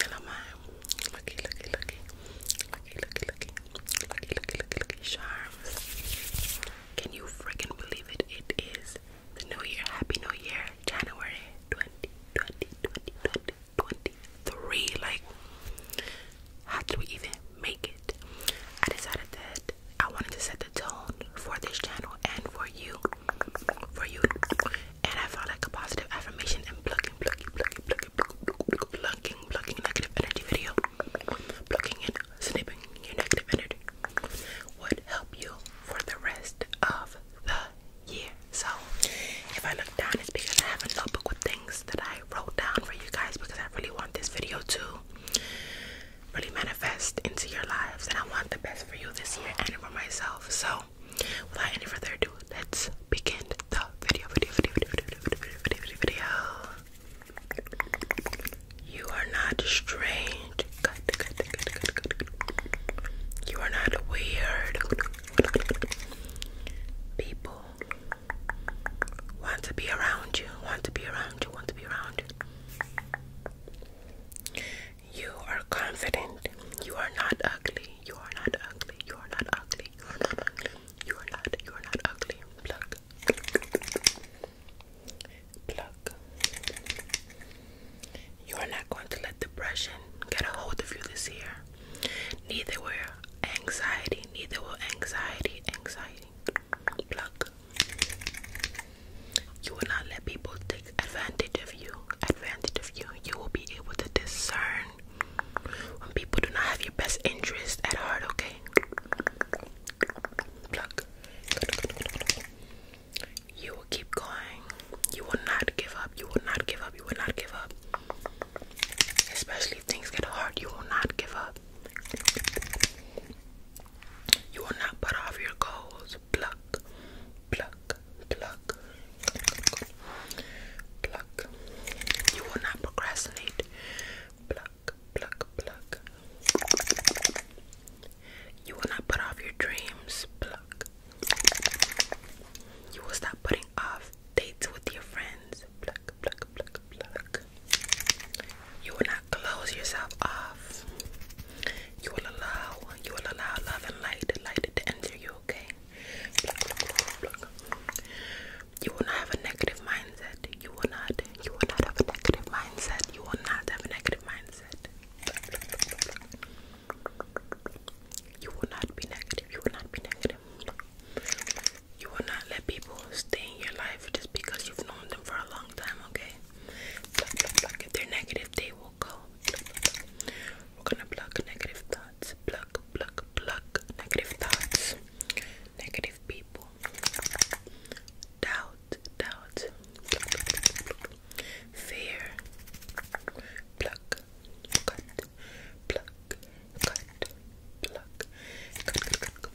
Hello, mom. Looky, looky, looky. Looky, looky, looky. Looky, looky, looky, looky. Charms. Can you freaking believe it? It is the new year. Happy New Year. January 20, 20, 20, 20, 23. Like, how do we even make it? I decided that I wanted to set the tone for this channel and for you, for you. And I found like a positive affirmation and plucking, plucking, plucking, plucking, plucking, plucking, negative energy video, plucking and snipping your negative energy would help you for the rest of the year. So if I look down, it's because I have a notebook with things that I wrote down for you guys because I really want this video to really manifest into your lives. And I want the best for you this year and for myself. So, without any further ado, let's begin the video. Video, video, video, video, video, video, video, You are not strange. You are not weird. People want to be around you, want to be around you, want to be around you. You are confident. You are not ugly. You are not ugly. You are not ugly. You are not You are not. ugly. Pluck. Pluck. You are not going to let depression get a hold of you this year. Neither will anxiety. Neither will anxiety. Anxiety. Pluck. You will not let people take advantage of you. Advantage of you. You will be able to discern when people do not have your best interest at heart, okay? Pluck. You will keep going. You will not give up. You will not give up. You will not give up. Especially if things get hard, you will not give up. You will not put off your goals. Pluck, pluck, pluck, pluck. You will not procrastinate. Pluck, pluck, pluck. You will not put off your dreams. Pluck. You will stop putting off dates with your friends. Pluck, pluck, pluck, pluck. You will not close yourself off. You will allow, you will allow love and light, light to enter you, okay? You will not have a negative mindset. You will not, you will not have a negative mindset. You will not have a negative mindset. You will not be negative. You will not be negative. You will not let people stay in your life just because you've known them for a long time, okay? Pluck, pluck, pluck. If they're negative, they will go. Pluck, pluck. We're gonna pluck negative thoughts. Pluck, pluck, pluck. Negative thoughts. Negative people. Doubt, doubt. Pluck, pluck, pluck, pluck. Fear. Pluck, cut. Pluck, cut. Pluck, cut, cut, cut, cut.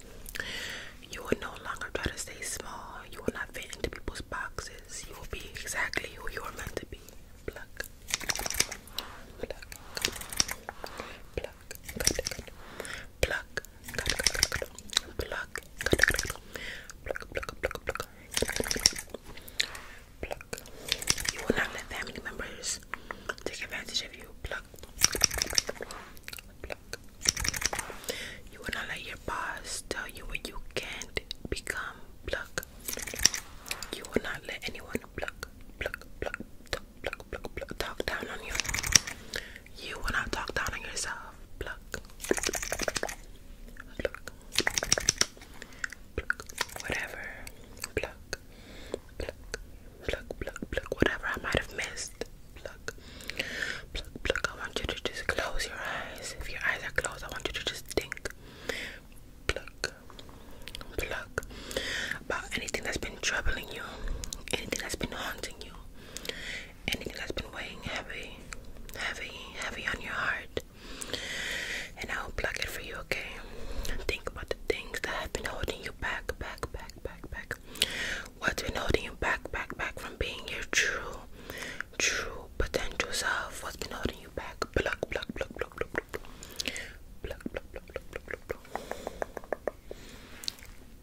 You will no longer try to stay small. You will not fit into people's boxes. You will be exactly who you are meant to be. Pluck. Pluck. Pluck. Pluck. Pluck. Pluck. Pluck. Pluck. Pluck. Pluck. You will not let family members take advantage of you. Pluck. Pluck. Pluck. You will not let your boss tell you what you can't become. Pluck. You will not let anyone pluck, pluck, pluck, talk, pluck, pluck, pluck, talk down on you. You will not talk down on yourself. Pluck. Pluck. Pluck. Whatever. Pluck. Pluck. Pluck, pluck, Whatever I might have missed pluck, pluck, pluck. I want you to just close your eyes. If your eyes are closed, I want you to just think, pluck, pluck about anything that's been troubling you, anything that's been haunting you, anything that's been weighing heavy, heavy, heavy on your heart. And I'll pluck it for you, okay? Think about the things that have been holding you back, back, back, back, back. What's been holding you back, back, back from being your true, true potential self? What's been holding you back? Pluck, pluck, pluck, pluck, pluck, pluck. Pluck, pluck, pluck, pluck, pluck, pluck, pluck.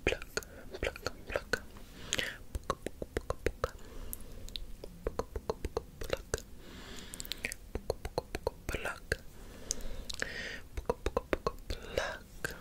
Pluck, pluck, pluck. Pluck, pluck, pluck. Pluck. Pluck, pluck, pluck. Pluck. Pluck, pluck, pluck.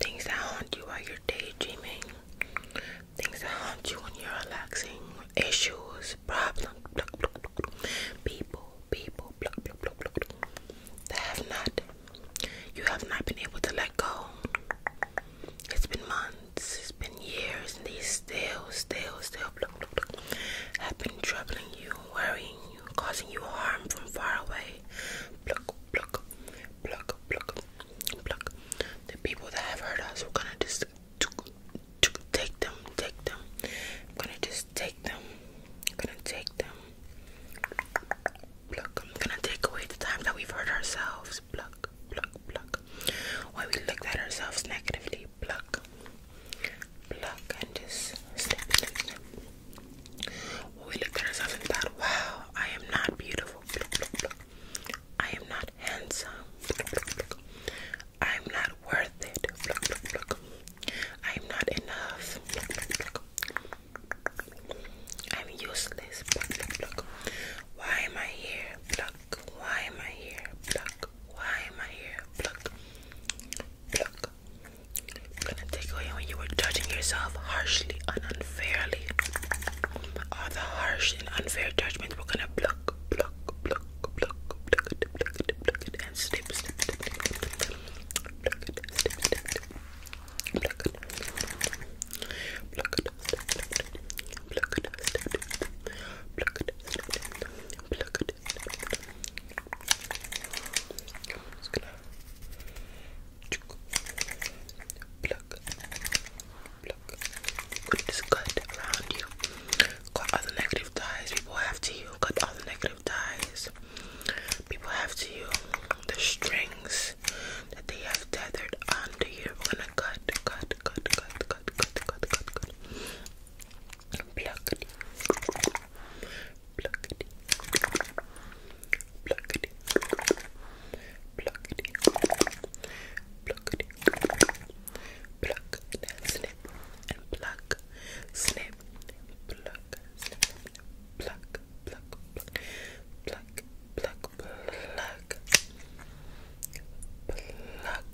things that haunt you while you're daydreaming, things that haunt you when you're relaxing, issues, problems, people, people that have not, you have not been able to let go. It's been months, it's been years, and these still, still, still have been troubling you, worrying you, causing you harm from far away. Pluck, pluck, pluck, Block, pluck, The people that have hurt us, we're gonna just take them, take them. I'm gonna just take them. i gonna take them. Pluck. gonna take away the time that we've hurt ourselves. Block, block, block. Why we looked at ourselves negatively. Block, block, and just snip, we look at ourselves and thought, wow, I am not beautiful. I am not handsome. I am not worth it. I am not enough. I'm useless. Why am I here? Why am I here? Why am I here? Pluck. Pluck gonna take away when you were judging yourself harshly unfairly. All the harsh and unfair judgments were gonna pluck, pluck, pluck, pluck, pluck, pluck, it, pluck, it, pluck it, and snip, snip, snip, snip, snip, pluck it, snip, snip, snip, pluck it, pluck it, snip, snip, snip, pluck it, snip, snip, snip, pluck it, snip, snip, snip, pluck it, snip, snip, snip. I'm just gonna Pluck. Pluck. Put this gut around you. Got all the negative ties people have to you. Got all the negative ties people have to you. The strings that they have tethered onto you. We're cut, cut, cut, cut, cut, cut, cut, cut, cut. Pluck it. Pluck Pluckity. Pluckity. Pluckity. Pluck. Now snip and pluck. Snip. Pluck. Snip. Pluck. Pluck. Pluck. Pluck. Pluck. Pluck. Pluck.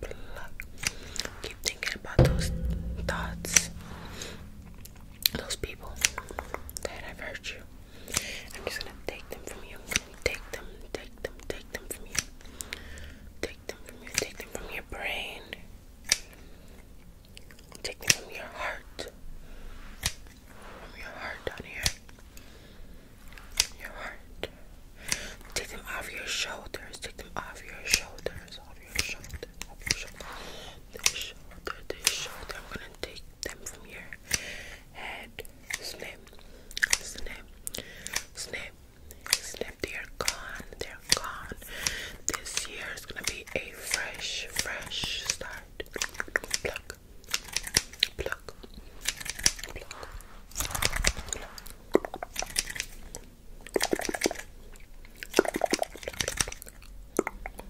Pluck. Keep thinking about those thoughts those people that have hurt you. I'm just gonna take them from you. Take them, take them, take them from you. Take them from you. Take them from your brain. Take them from your heart. your heart down here. your heart. Take them off your shoulders. Take them off your shoulders above your shoulder, above your shoulder, this shoulder, I'm gonna take them from your head, snip, snip, snip, snip. They are gone, they're gone. This year is gonna be a fresh, fresh start. pluck, pluck, pluck, pluck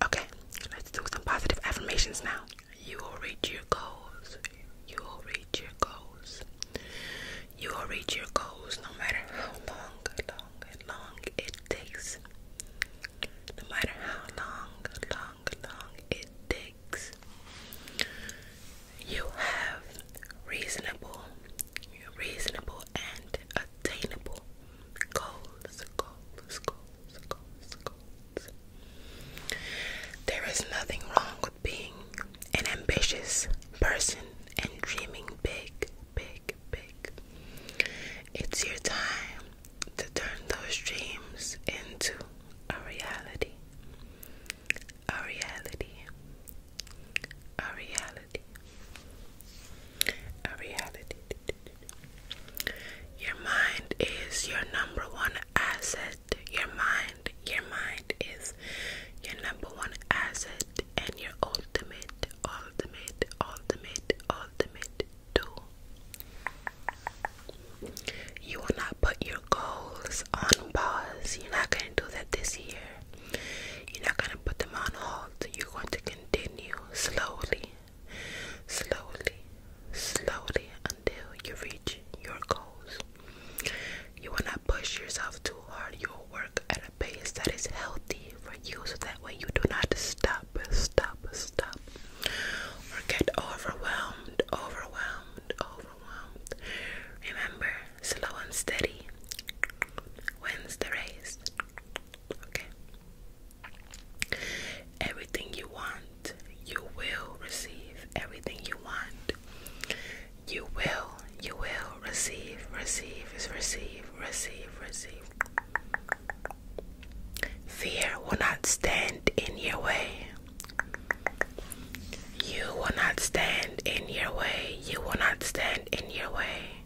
Okay, let's do some positive affirmations now. You will reach your goals. You will reach your goals. You will reach your goals no matter how long the long it takes. No matter how long, long, long it takes, you have reasonable, reasonable and attainable goals, goals, goals, goals, goals. There is nothing wrong with being an ambitious person and dreaming big big, big. It's your time to turn those dreams into a reality. A reality. A reality. A reality. Your mind is your number one asset. Your mind, your mind is your number one asset and your ultimate, ultimate, ultimate, ultimate do. You will not put your goals on pause. You're not going to do that this year. You're not going to put them on hold. You're going to continue slowly, slowly, slowly until you reach your goals. You will not push yourself too hard. You work at a pace that is healthy for you so that way you do not stop, stop, stop, or get overwhelmed, overwhelmed, overwhelmed. Remember, slow and steady wins the race. Okay? Everything you want, you will receive. Everything you want, you will, you will receive, receive, is receive, receive, receive. Fear will not stand in your way. You will not stand in your way. You will not stand in your way.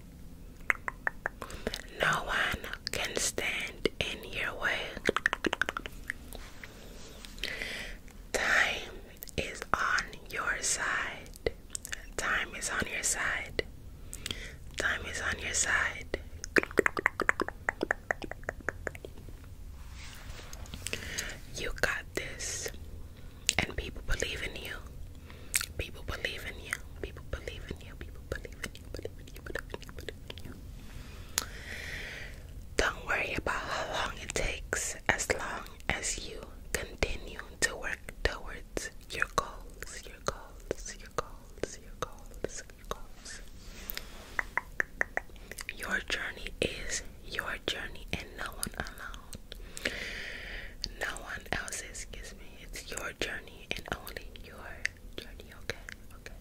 No one can stand in your way. Time is on your side. Time is on your side. Time is on your side. You got this. And people believe in you. People believe in you. People believe in you. People believe in you. Believe in you. Believe in you. Believe in you. Don't worry about how long it takes as long as you continue to work toward your goals, your goals, your goals, your goals, your goals. Your journey is your journey and no one alone. No one else's, excuse me. It's your journey and only your journey, okay? Okay,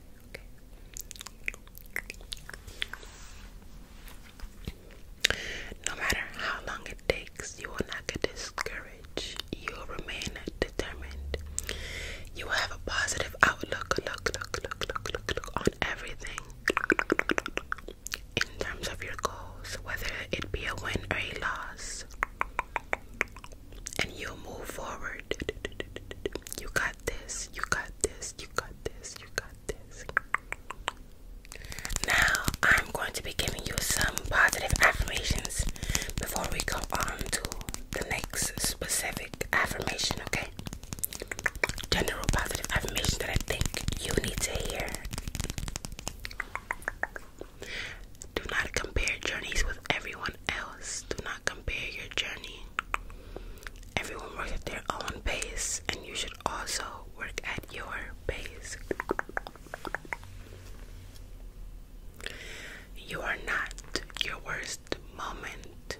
okay. No matter how long it takes, you will not get discouraged. You will remain determined. You will have a positive outlook, on everything in terms of your goals, whether it be a win or a loss. And you'll move forward. You got this, you got this, you got this, you got this. Now, I'm going to be giving you some positive affirmations before we go on to the next specific affirmation, okay? General positive affirmation that I think you need to hear. Do not compare journeys with everyone else. Do not compare your journey. Everyone works at their own pace, and you should also work at your pace. You are not your worst moment.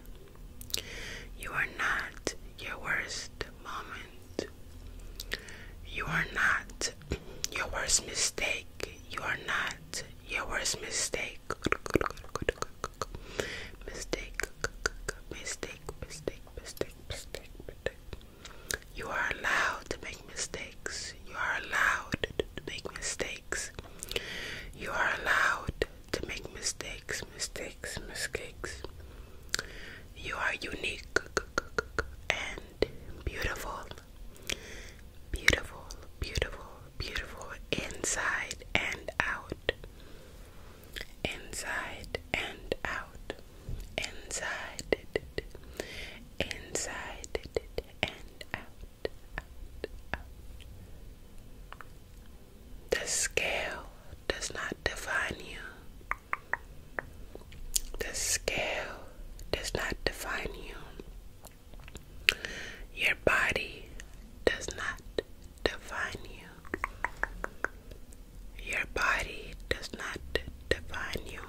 You are not your worst moment. You are not your worst mistake. You are not your worst mistake. Mistake, mistake, mistake, mistake, mistake, mistake. You are allowed to make mistakes. You are allowed to make mistakes. You are allowed to make mistakes, mistakes, mistakes. You are unique and beautiful. Beautiful, beautiful, beautiful inside and out. Inside and out inside, inside, and out, The scale does not define you. The scale does not define you. Your body does not define you. Your body does not define you.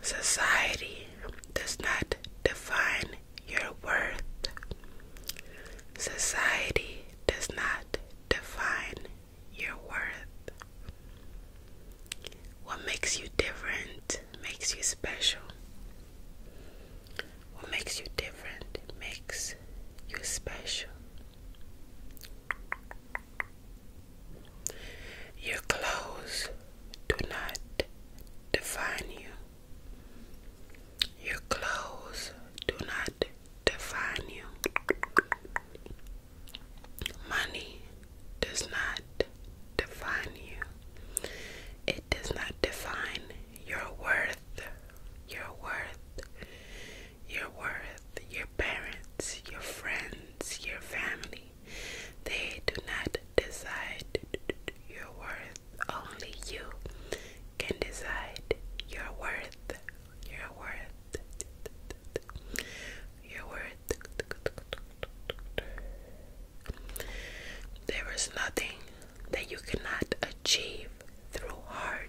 Society does not define your worth. Society does not define your worth. What makes you different makes you special. What makes you different makes you special. Your clothes do not define you. Your clothes do not define you. Money does not define you. It does not define your worth. Your worth your worth, your parents, your friends, your family. They do not decide your worth. Only you can decide your worth, your worth, your worth. There is nothing that you cannot achieve through hard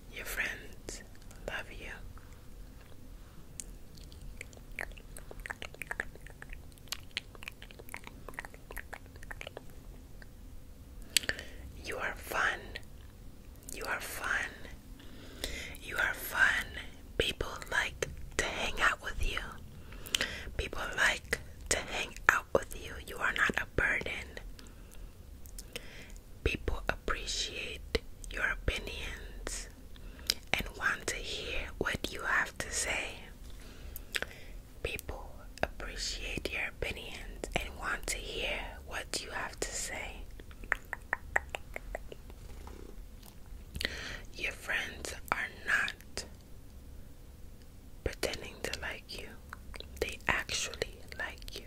Your friends love you. You are fun. You are fun. You are fun. People like to hang out with you. People like to hang out with you. You are not a burden. People appreciate your opinions and want to hear what you have to say. People appreciate your opinions and want to hear what you have to say. Your friends are not pretending to like you. They actually like you.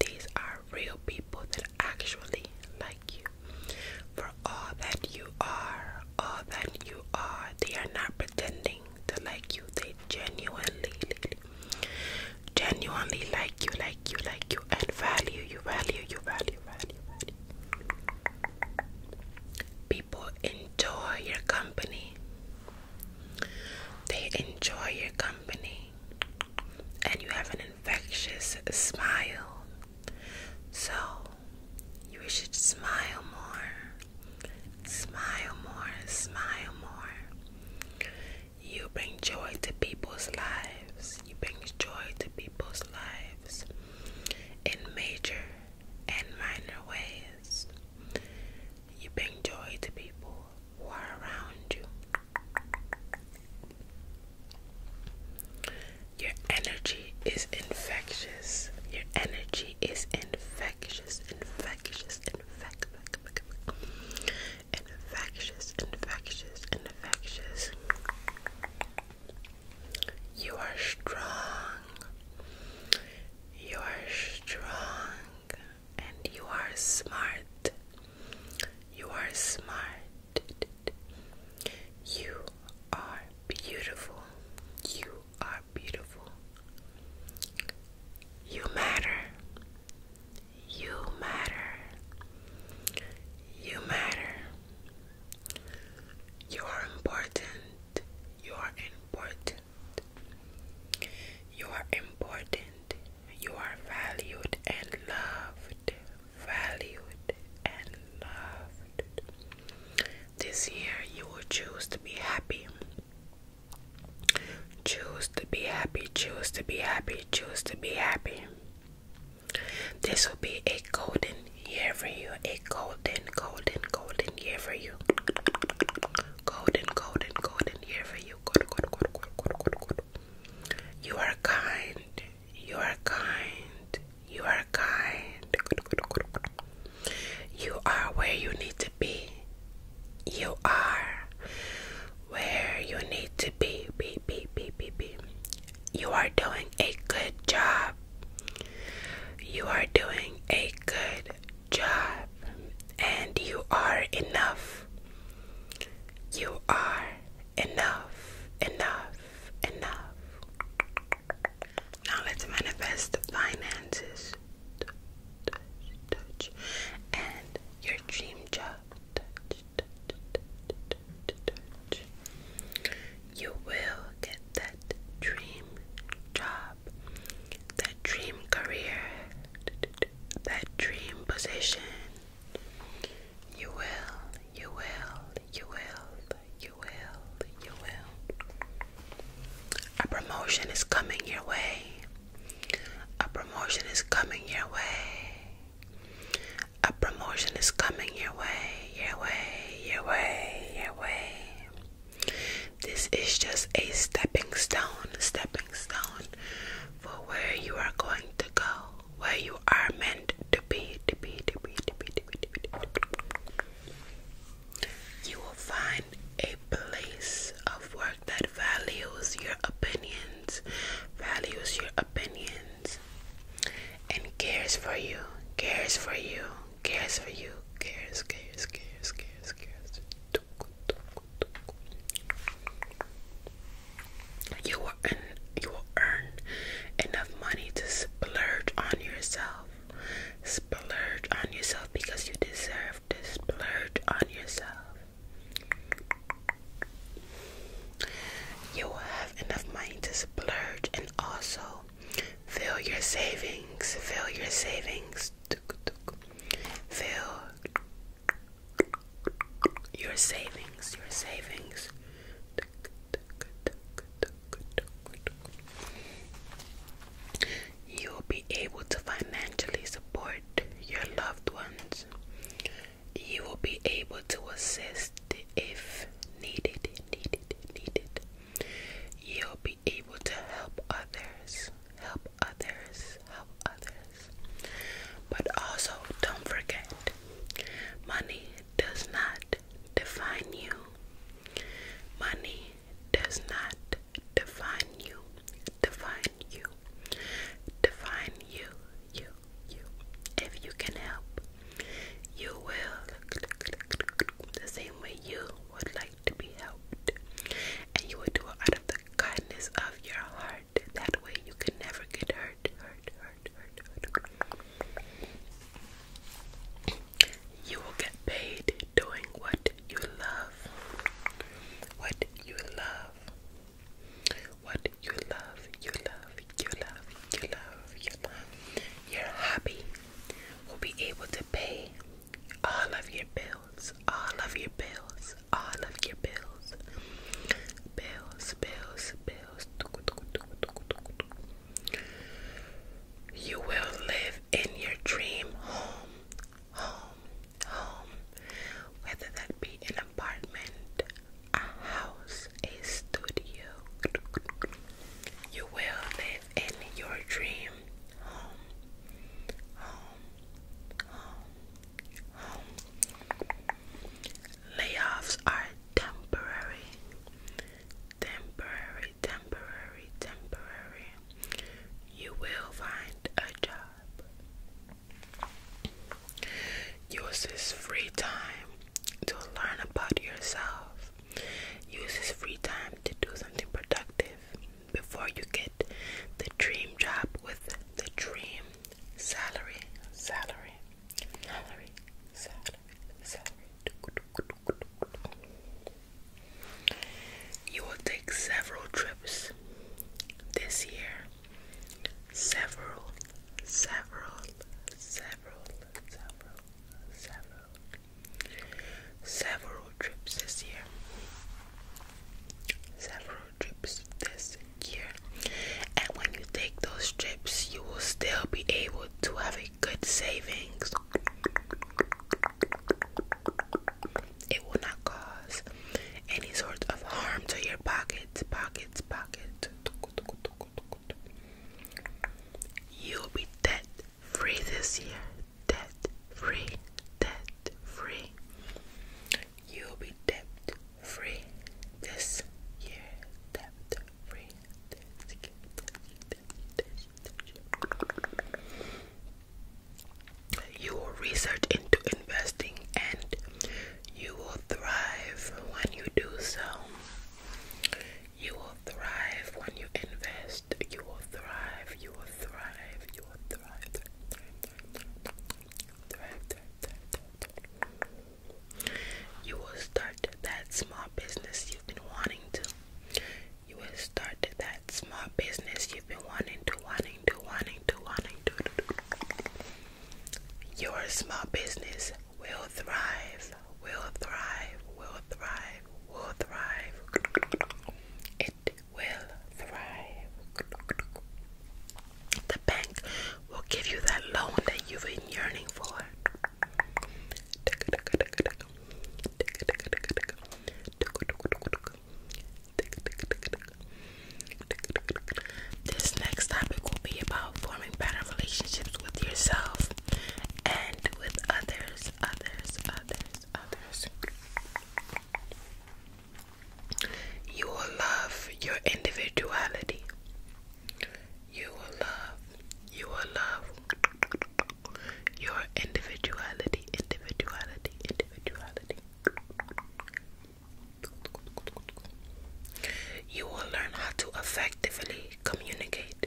These are real people that actually like you. For all that you are, all that you are, they are not pretending to like you. They genuinely, genuinely like you, like you, like you, and value you, value you, value, value, value. People enjoy your company they enjoy your company, and you have an infectious smile. So, you should smile more, smile more, smile more. You bring joy to people's lives, you bring joy to people's lives in major and minor ways. You bring joy to people who are around you. Your energy is infectious. Your energy is infectious, infectious, infectious, infectious, infectious, infectious. You are strong. You are strong and you are smart. You are smart. You are beautiful. You are beautiful. You matter. You matter. You matter. You are important. You are important. You are important. You are valued and loved. Valued and loved. This year, you will choose to be happy. Choose to be happy. Choose to be happy. Choose to be happy. This will be a golden year for you. A golden golden, golden, golden year for you. Golden, golden, golden year for you. You are kind. You are kind. You are kind. You are where you need to be. You are where you need to be. Be, be, be, be, be. You are doing a good job. You are doing a good job, and you are enough. You are enough, enough, enough. Now let's manifest finances. and your dream job. You will get that dream job that dream career, that dream position. You will, you will, you will, you will, you will. A promotion is coming your way. A promotion is coming your way. A promotion is coming your way, your way, your way, your way. This is just a stepping stone, stepping stone for where you are going to go, where you are meant to be, to be, to be, to be, to be, to be. To be. You will find a place of work that values your opinions, values your opinions, and cares for you, cares for you, cares for you, cares, cares, cares, cares, cares. You will earn, you will earn enough money to splurge on yourself. Splurge on yourself because you deserve to splurge on yourself. You will have enough money to splurge and also Fill your savings. Fill your savings. Fill your savings. Your savings. You will be able to financially support your loved ones. You will be able to assist if needed, needed, needed. You'll be able to help others, help others, help others. But also, don't forget money does not define you. Money does not define you, define you, define you, you, you. If you can help, you will the same way you would like to be helped, and you will do it out of the kindness of your heart. That way, you can never get hurt, hurt, hurt, hurt, hurt. You will get paid doing what you love. What you love. What you love, you love, you love, you love, you love. Your hobby will be able to pay all of your bills, all of your bills, all of your bills, bills, bills, bills. You will live in your dream home, home, home, whether that be an apartment, a house, a studio. You will live in your dream home, home, home, home. Layoffs are temporary, temporary, temporary, temporary. You will find a job. Use this free time to learn about yourself Use his free time to do something productive before you get the dream job with the dream salary, salary, salary, salary, salary. You will take several trips this year. Several, several, several, several, several. Several trips this year. Several trips this year. And when you take those trips, you will still be able to have a good savings. It will not cause any sort of harm to your pockets, pockets, pockets. You'll be debt free this year debt free, debt free. You'll be debt free this year, debt free You will research into investing and you will thrive when you do so. You will thrive when you invest you will thrive, you will thrive, you will thrive, thrive. You will start that small business you've been wanting to. You will start that small business you've been wanting to, wanting to, wanting to, wanting to. Your small business will thrive, will thrive, will thrive will thrive. It will thrive. The bank will give you that loan that you've been yearning for. This next topic will be about forming better relationships with yourself and with others, others, others, you will love your individuality. You will love, you will love your individuality, individuality, individuality. You will learn how to effectively communicate.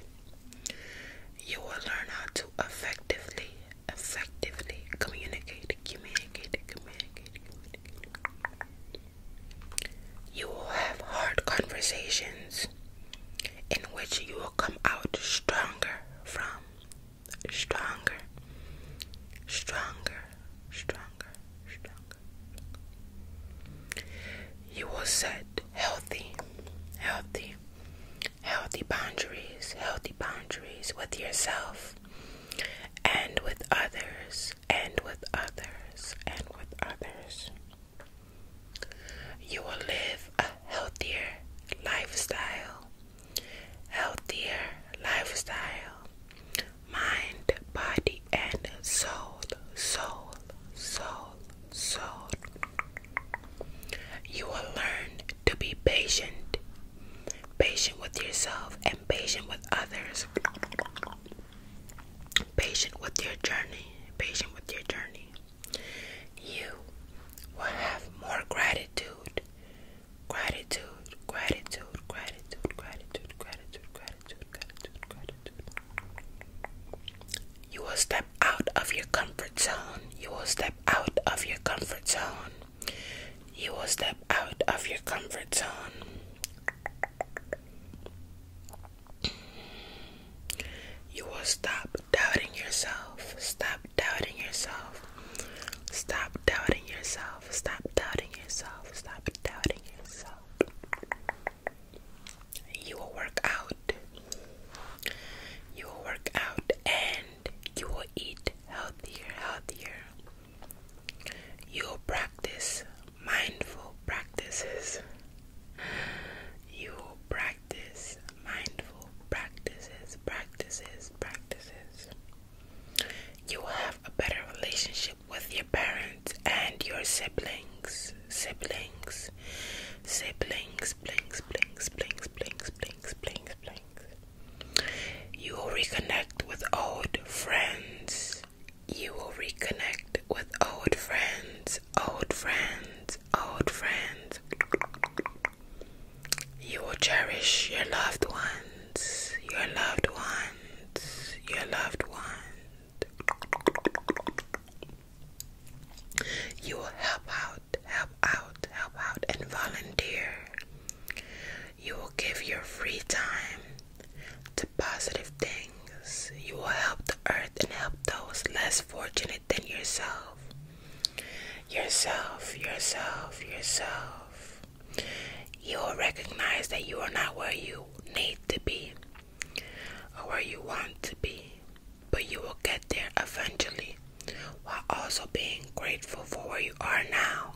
You will learn how to effectively, effectively communicate, communicate, communicate, You will have hard conversations in which you will come out stronger from, stronger, stronger, stronger, stronger. You will set healthy, healthy, healthy boundaries, healthy boundaries with yourself and with others, and with others, and with others. You will live a healthier lifestyle, healthier lifestyle, mind, body, and soul, soul, soul, soul. You will learn to be patient, patient with yourself and patient with others. Patient with your journey, patient with your journey. You will have more gratitude, gratitude, gratitude, gratitude, gratitude, gratitude, gratitude, gratitude, gratitude. You will step out of your comfort zone. You will step out of your comfort zone. You will step out of your comfort zone. You will stop doubting yourself. Stop doubting yourself. Stop doubting yourself. Stop doubting yourself. Stop doubting yourself. You will work out. You will work out and you will eat healthier, healthier. You will practice mindful practices. You will practice mindful practices, practices, practices. You will have a better relationship with your parents and your siblings, siblings blinks. blinks, blinks, blinks, blinks, blinks, blinks, blinks, blinks. You will reconnect with old friends. You will reconnect with old friends, old friends, old friends. You will cherish your loved ones, your loved ones, your loved ones. You will help out help out, help out, and volunteer. You will give your free time to positive things. You will help the earth and help those less fortunate than yourself. Yourself, yourself, yourself. You will recognize that you are not where you need to be or where you want to be but you will get there eventually while also being grateful for where you are now.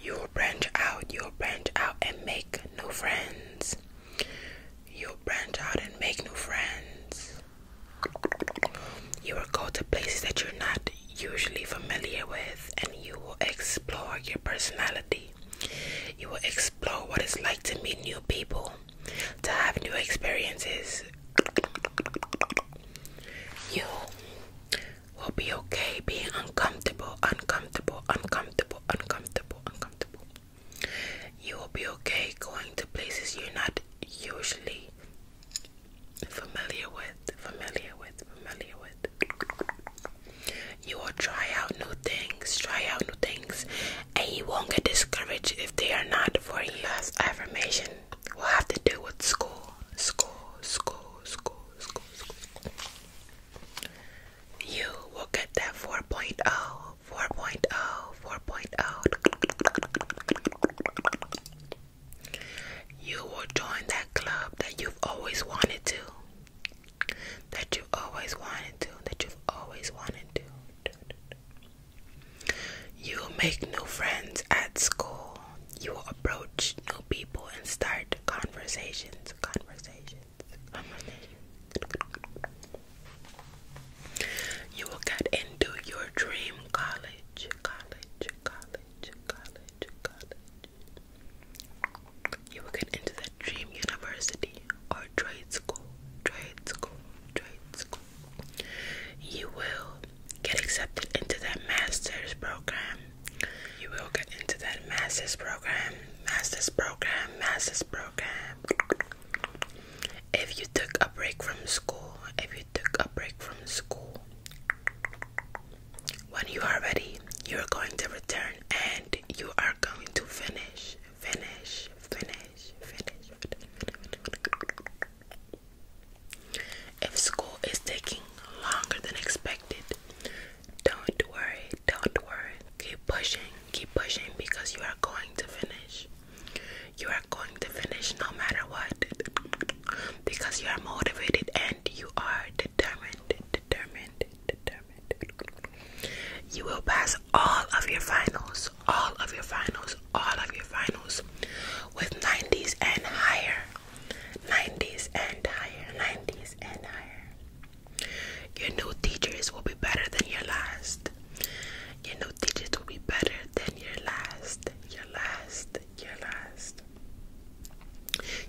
You will branch out, you will branch out and make new friends. You'll branch out and make new friends. You will go to places that you're not usually familiar with, and you will explore your personality. You will explore what it's like to meet new people, to have new experiences. You will be okay being uncomfortable, uncomfortable, uncomfortable, uncomfortable, uncomfortable. You will be okay going to places you're not usually familiar with, familiar with, familiar with. You will try out new things, try out new things, and you won't get discouraged if they are not for you. Last affirmation will have to do with school, school, school, school, school, school. You will get that 4.0. 4.0, 4.0. You will join that club that you've always wanted to. That you've always wanted to. That you've always wanted to. You will make new friends at school. You will approach new people and start conversations. Conversations. You will get into your dream college, college, college, college, college. You will get into that dream university or trade school, trade school, trade school. You will get accepted into that master's program. You will get into that master's program, master's program, master's program. If you took a break from school, if you took a break from school, when you are ready, you are going to return and you are going to finish, finish, finish, finish. If school is taking longer than expected, don't worry, don't worry. Keep pushing, keep pushing because you are going to finish. You are going to finish no matter what because you are motivated and you are determined, determined, determined. You will pass all of your finals, all of your finals, all of your finals with 90s and higher. 90s and higher, 90s and higher. Your new teachers will be better than your last. Your new teachers will be better than your last. Your last. Your last.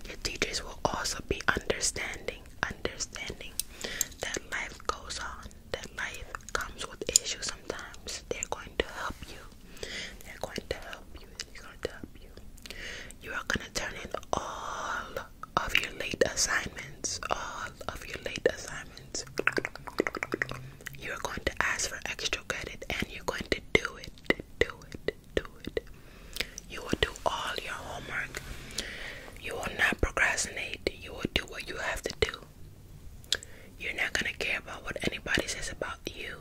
Your teachers will also be understanding, understanding that life goes on, that life comes with issues sometimes. They're going to help you. They're going to help you. They're going to help you. You are going to turn in all of your late assignments, all of your late assignments, you are going to ask for extra credit and you're going to do it, do it, do it. You will do all your homework. You will not procrastinate. You will do what you have to do. You're not gonna care about what anybody says about you.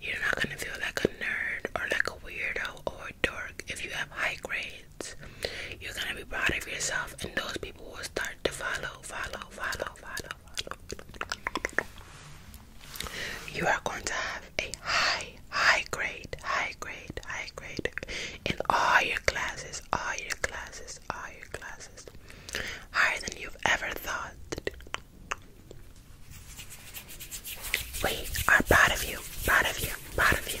You're not gonna feel like a nerd or like a weirdo or a dork if you have high grades kids. You're gonna be proud of yourself, and those people will start to follow, follow, follow, follow, follow. You are going to have a high, high grade, high grade, high grade in all your classes, all your classes, all your classes. Higher than you've ever thought. We are proud of you, proud of you, proud of you.